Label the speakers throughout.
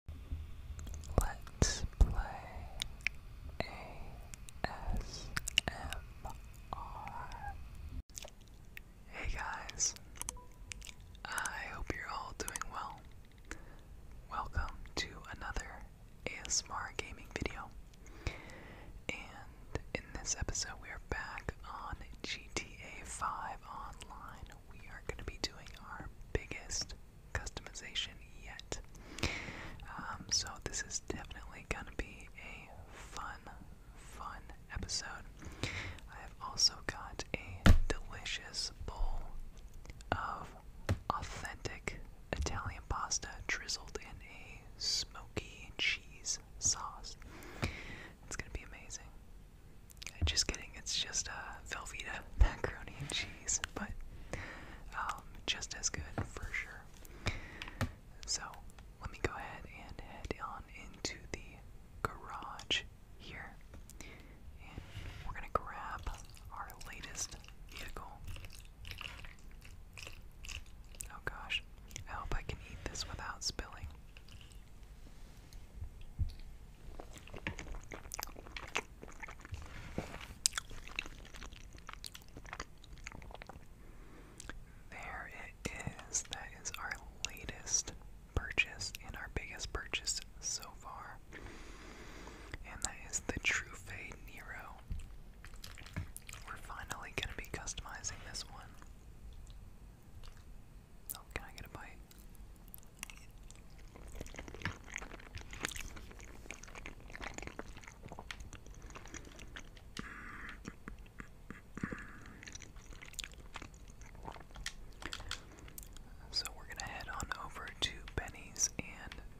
Speaker 1: Hey guys, I hope you're all doing well. Welcome to another ASMR gaming video. And in this episode, we are back on GTA 5 Online. We are going to be doing our biggest customization yet. Um, so this is definitely gonna be a fun, fun episode. I have also got a delicious bowl of authentic Italian pasta drizzled in a smoky cheese sauce. It's gonna be amazing. Just kidding, it's just a Velveeta macaroni and cheese but um, just as good for sure. So let me go ahead and head on into the garage here, and we're gonna grab our latest vehicle. Oh gosh, I hope I can eat this without spilling. There it is. That is our latest purchase and our biggest purchase so far. And that is the True Nero. We're finally going to be customizing this one. Oh, can I get a bite? So we're going to head on over to Benny's and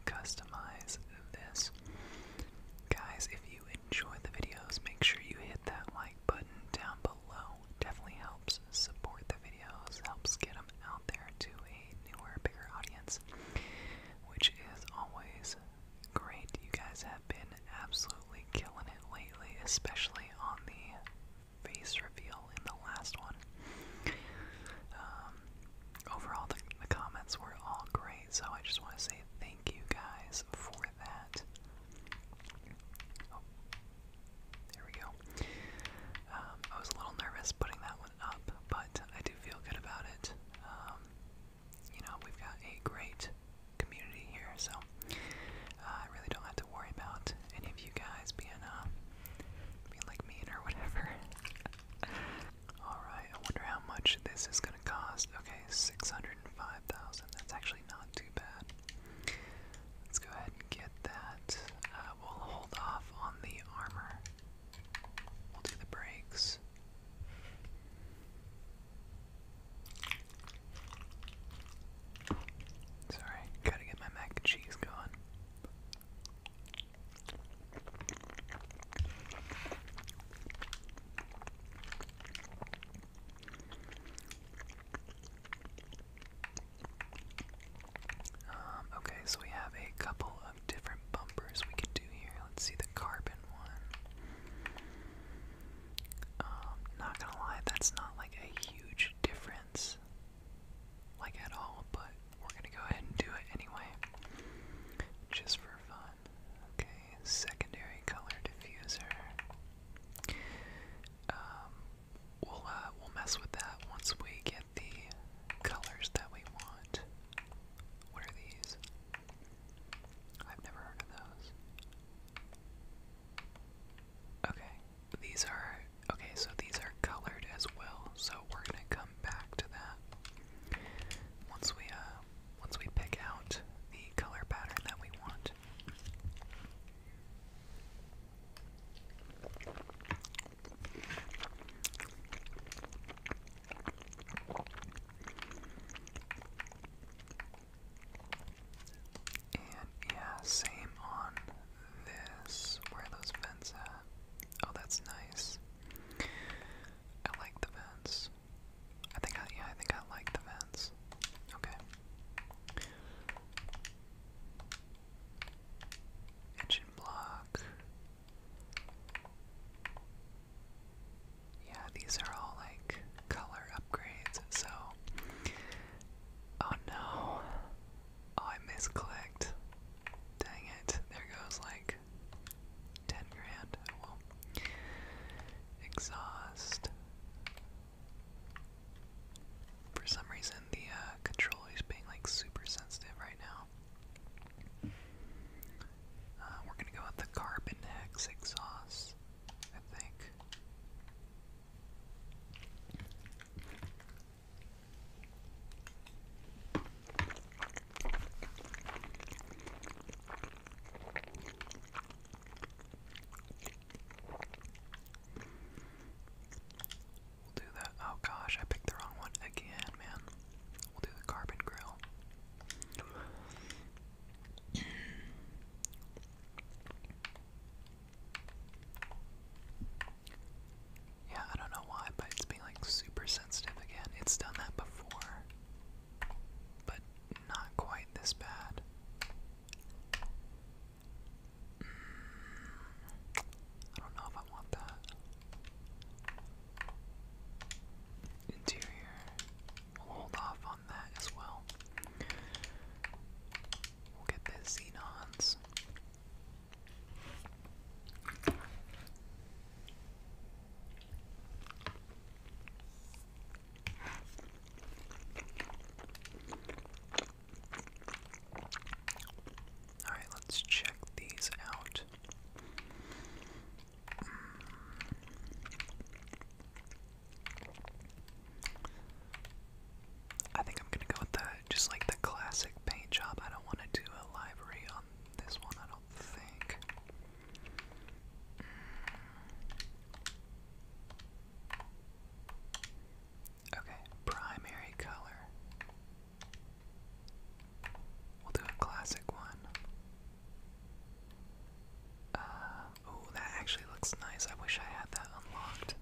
Speaker 1: customize this. Guys, if you enjoy the videos, make sure you hit that like button down below. Definitely helps support the video helps get them out there to a newer, bigger audience, which is always great. You guys have been absolutely killing it lately, especially on the face reveal in the last one. Um, overall, the, comments were all great, so I just want to say thank you guys for that. Oh, there we go. Um, I was a little nervous putting that one up, but I do feel good about it. Um, you know, we've got a great community here, so uh, I really don't have to worry about any of you guys being, uh, being like mean or whatever. Alright, I wonder how much this is going to cost. Okay, 605000 That's actually not too bad. Let's go ahead and get that. Uh, we'll hold off on the armor We'll do the brakes. Sorry, gotta get my mac and cheese going. Um, okay, so we have a couple of different bumpers we can do here. Let's see the carbon one. Um, not gonna lie, that's not like a huge difference, like at all, but we're gonna go ahead and do it anyway, just for fun. Okay, secondary color diffuser. Um, we'll, uh, we'll mess with that once we get the colors that we want. What are these? I've never heard of those. Okay, these are okay, so these are colored as well, so we're gonna come back to that once we uh once we pick out the color pattern that we want. And yeah, same on this. Where those vents at? Oh, that's nice. I like the vents. I think I yeah, I think I like the vents. Okay. Engine block. Yeah, these are all like color upgrades, so. Oh no. Oh, I misclicked. Dang it. There goes like 10 grand. Oh, well, exhaust. For some reason, the uh, controller is being like super sensitive right now. Uh, we're gonna go with the carbon hex exhaust, I think. We'll do the, oh gosh, I picked the wrong one again, man. We'll do the carbon grill. yeah, I don't know why, but it's being like super sensitive again. It's done that before, but not quite this bad. Mm. I don't know if I want that. Interior. We'll hold off on that as well. We'll get the Xenons. Alright, let's check these out. I think I'm gonna go with the just like the classic paint job. I don't want to do a library on this one, I don't think. Okay, primary color. We'll do a classic one. oh, that actually looks nice. I wish I had that unlocked.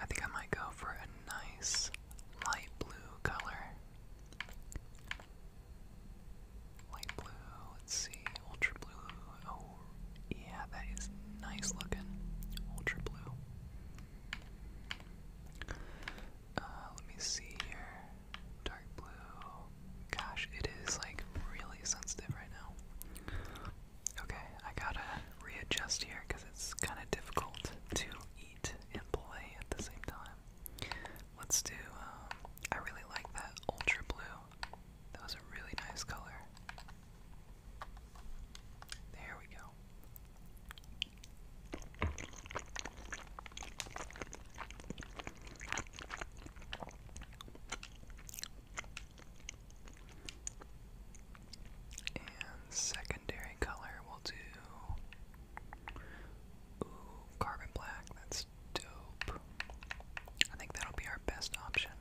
Speaker 1: I think I might go for a nice light blue color. Light blue, let's see, ultra blue. Oh, yeah, that is nice looking. Ultra blue. Uh, let me see here. Dark blue. Gosh, it is like really sensitive right now. Okay, I gotta readjust here because it's kind of difficult to and play at the same time. Let's do, uh, I really like that ultra blue. That was a really nice color. There we go. And secondary color, will do. Ooh, carbon black, that's dope. I think that'll be our best option.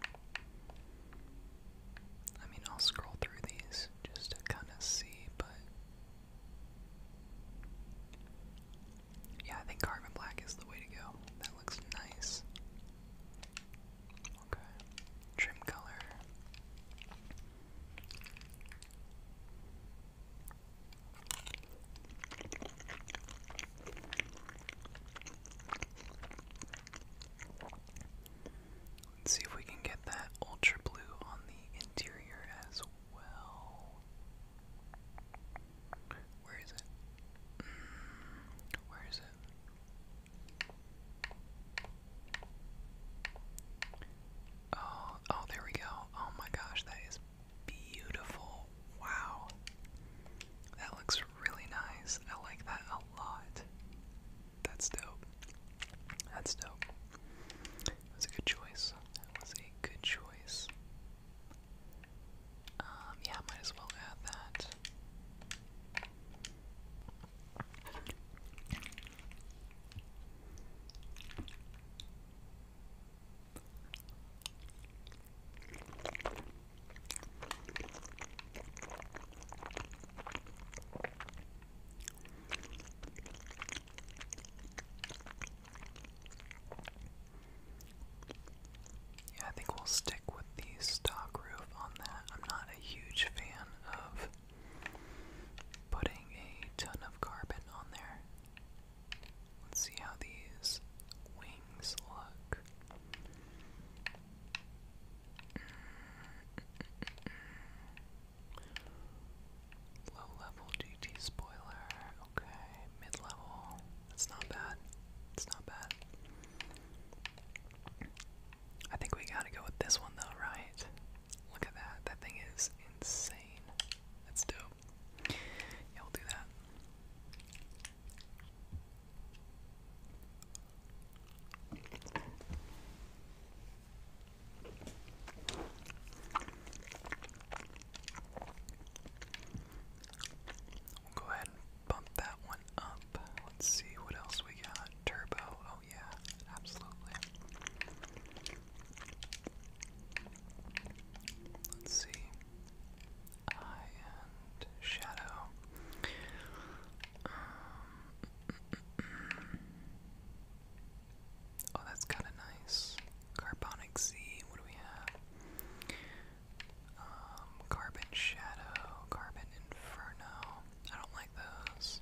Speaker 1: I mean, I'll scroll through these just to kind of see, but. Yeah, I think carbon black is the way to go. That looks nice. Okay. Trim color. Let's see if we can get that ultra blue on the interior as well. Where is it? Mm, where is it? Oh, oh, there we go. Oh my gosh, that is beautiful. Wow. That looks really nice. I like that a lot. That's dope. That's dope. That was a good choice. That was a good choice. Um, yeah, might as well add that. Yeah, I think we'll stick with the stock roof on that. I'm not a huge fan of Putting a ton of carbon on there. Let's see how these wings look. Low level GT spoiler. Okay, mid level. That's not bad. It's not bad. I think we gotta go with this one though, right? Look at that. That thing is insane. That's dope. Yeah, we'll do that. We'll go ahead and bump that one up. Let's see what else we got. Turbo. Oh, Oh, yeah, absolutely. Let's see. Eye and shadow. Um, oh, that's kind of nice. Carbonic Z. What do we have? Um, carbon shadow, carbon inferno. I don't like those.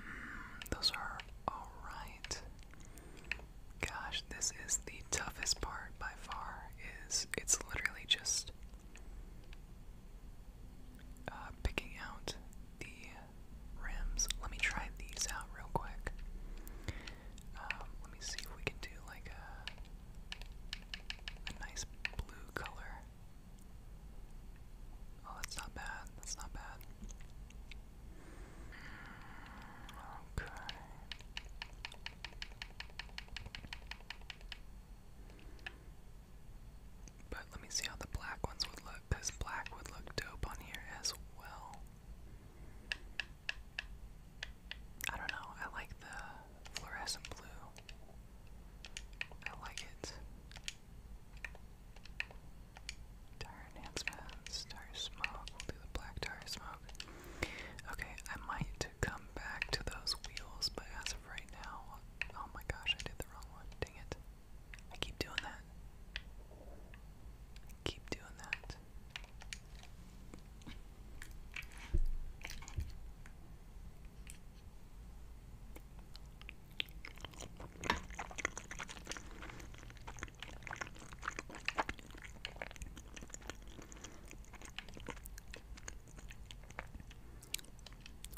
Speaker 1: Mm, those are alright. Gosh, this is the toughest part by far, is it's literally just uh, picking out the rims. Let me try these out real quick. Um, let me see if we can do like a nice blue color. Oh, that's not bad. That's not bad. Okay. But let me see how the black ones would look, because black would look dope on here as well. I don't know, I like the fluorescent blue. I like it. Tar enhancement, star smoke. We'll do the black tar smoke. Okay, I might come back to those wheels, but as of right now, oh my gosh, I did the wrong one. Dang it! I keep doing that. I keep doing that.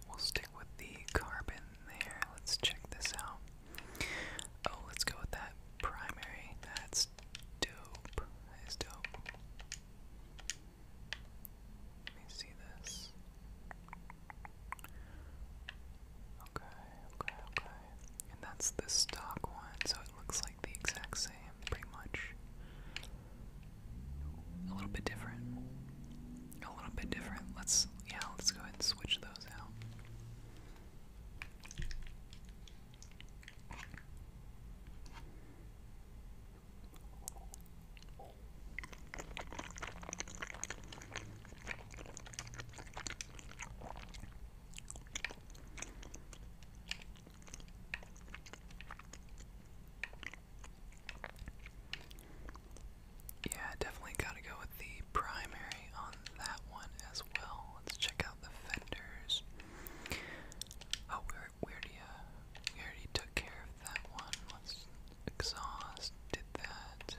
Speaker 1: We'll stick with the carbon there. Let's check this out. Oh, let's go with that primary. That's dope. That is dope. Let me see this. Okay, okay, okay. And that's the stock one, so it looks like the exact same, pretty much. A little bit different. A little bit different. Let's, yeah, let's go ahead and switch those out. Yeah, definitely gotta go with the primary on that one as well. Let's check out the fenders. Oh, we already, uh, we already took care that one. let exhaust. Did that.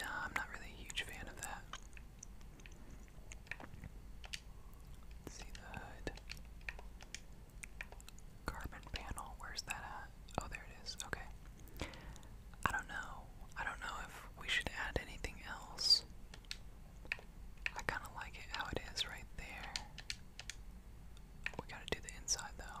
Speaker 1: No, I'm not really a huge fan of that. see the hood. Carbon panel, where's that at? Oh, there it is. Okay. I don't know. I don't know if we should add anything else. I kind of like it how it is right there. We gotta do the inside though.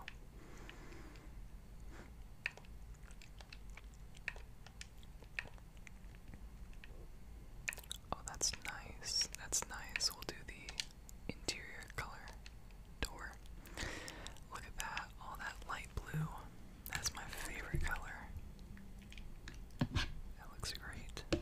Speaker 1: Oh, that's nice. That's nice. We'll do the interior color door. Look at that. All that light blue. That's my favorite color. That looks great.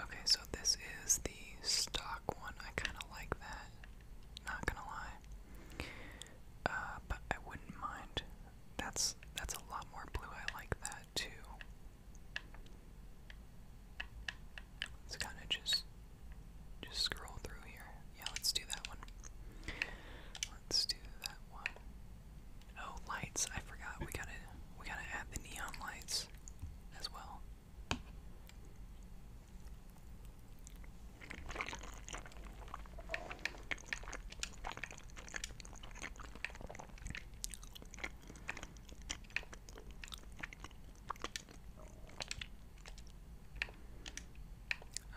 Speaker 1: Okay, so this is the stock one. I kind of like that. Not gonna lie. Uh, but I wouldn't mind. That's that's a lot more blue. I like that too. Let's kind of just just scroll through here. Yeah, let's do that one. Let's do that one. Oh, lights! I forgot. We gotta we gotta add the neon lights as well.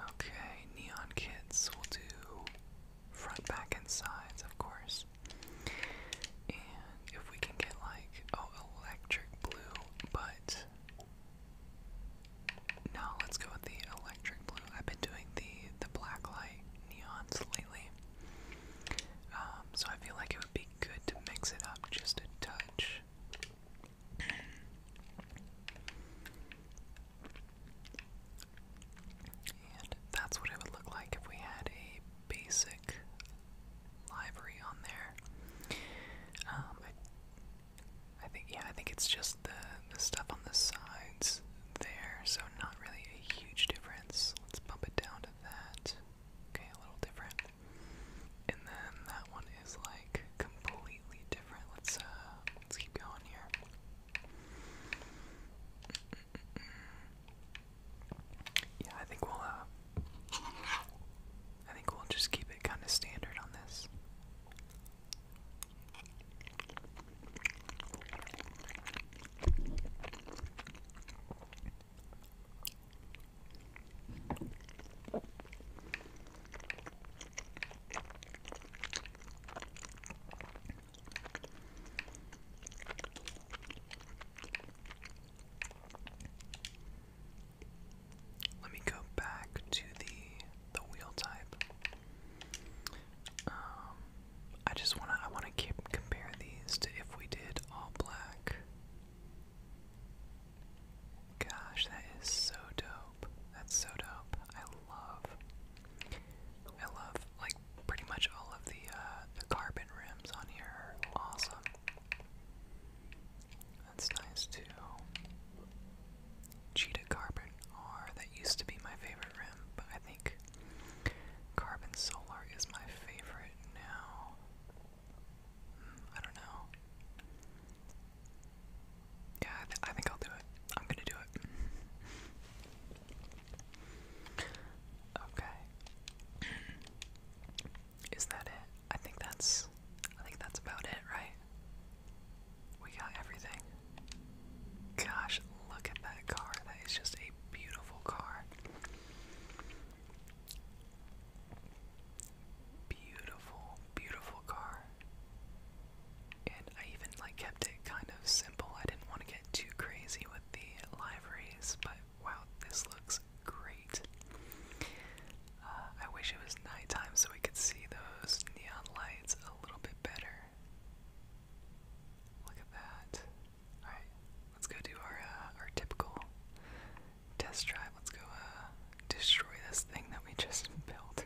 Speaker 1: Okay, Neon Kids we will do front, back, and sides, of course. And if we can get like, oh, electric blue, but no, let's go with the electric blue. I've been doing the the black light neons lately, um, so I feel like it would be good to mix it up just a touch. And that's what it would look like if we had a basic library on there. Um, I think yeah, I think it's just the the stuff on the sides there, so not really a huge difference. Let's bump it down to that. Okay, a little different. And then that one is like completely different. Let's uh let's keep going here. Yeah, I think we'll uh I think we'll just keep it kind of standard on this. Let me go back to the the wheel type. Um, I just wanna I wanna compare these to if we did all black. Gosh, that is so dope. That's so dope. I love I love like pretty much all of the uh, the carbon rims on here awesome. That's nice too. Cheetah Carbon R. That used to be my favorite rim, but I think Carbon Solar is my favorite now. Hmm, I don't know. Yeah, I, think I'll do it. I'm gonna do it. okay. Is that it? I think that's I think that's about it, right? We got everything. Gosh, look at that car. That is just a beautiful car. Beautiful, beautiful car. And I even like kept it kind of simple. I didn't want to get too crazy with the liveries, but wow, this looks great. Uh, I wish it was nighttime so we could see those neon lights a little bit better. Look at that. Alright, let's go do our, uh, our typical test drive. Let's go uh, destroy this thing that we just built.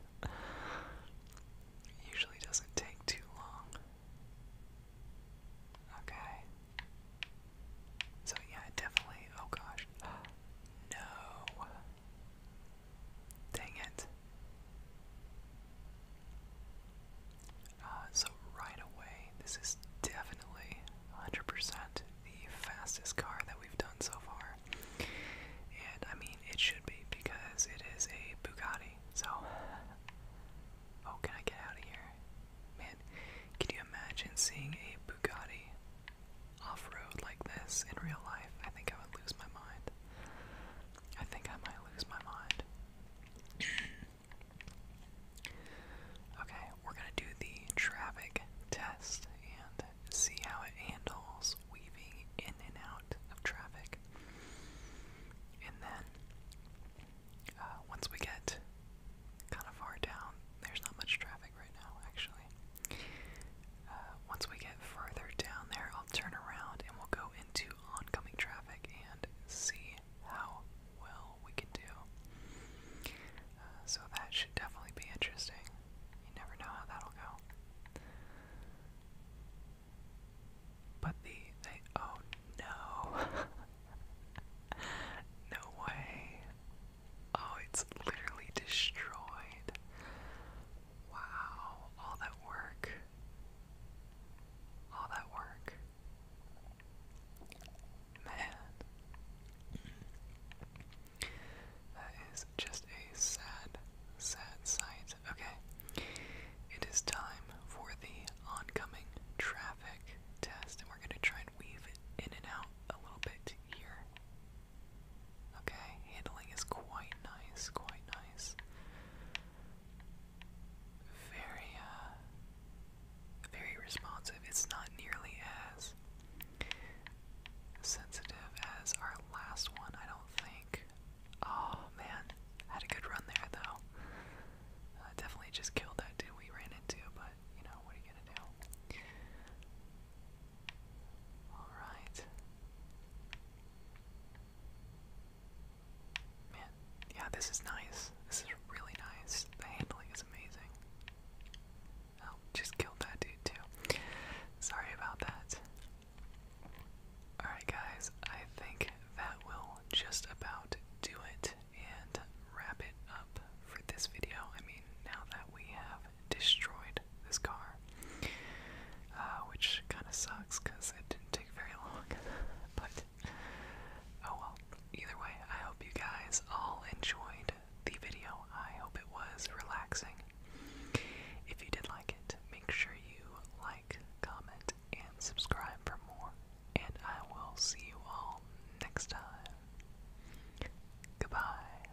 Speaker 1: usually doesn't take too long. Okay. So yeah, definitely. Oh gosh. No. Dang it. Uh, so, right away, this is definitely 100% the fastest car that we've done so far. And I mean, it should be because it is a Bugatti. So, oh, can I get out of here? Man, can you imagine seeing a Bugatti off road like this in real life, I think I would lose my mind. I think I might lose my mind. okay, we're gonna do the traffic test and see how it handles weaving in and out of traffic. And then, uh, once we get kind of far down, there's not much traffic right now, actually. Uh, once we get further down there, I'll turn around and we'll go into oncoming traffic and see how well we can do. Uh, so that should definitely be interesting. You never know how that'll go. But the oh no. no way. Oh, it's literally destroyed. Wow, all that work. All that work. Man. That is just a sad, sad sight. Okay. It is time for the oncoming traffic test, and we're going to try and weave in and out a little bit here. Okay, handling is quite nice, quite nice. Very, uh, very responsive. It's not nearly as sensitive as our last one, I don't think. Oh man, had a good run there though. Uh, definitely just killed that dude we ran into, but you know, what are you gonna do? All right. Man, yeah, this is nice. This is really nice. The handling is amazing. Oh, just killed that dude too. Sorry about that. Alright, guys, I think that will just about do it and wrap it up for this video. I mean, now that we have destroyed this car, uh, which kind of sucks because it didn't take very long. but oh well. Either way, I hope you guys all enjoyed the video. I hope it was relaxing. If you did like it, make sure you like, comment, and subscribe for more. And I will see you all next time. Goodbye.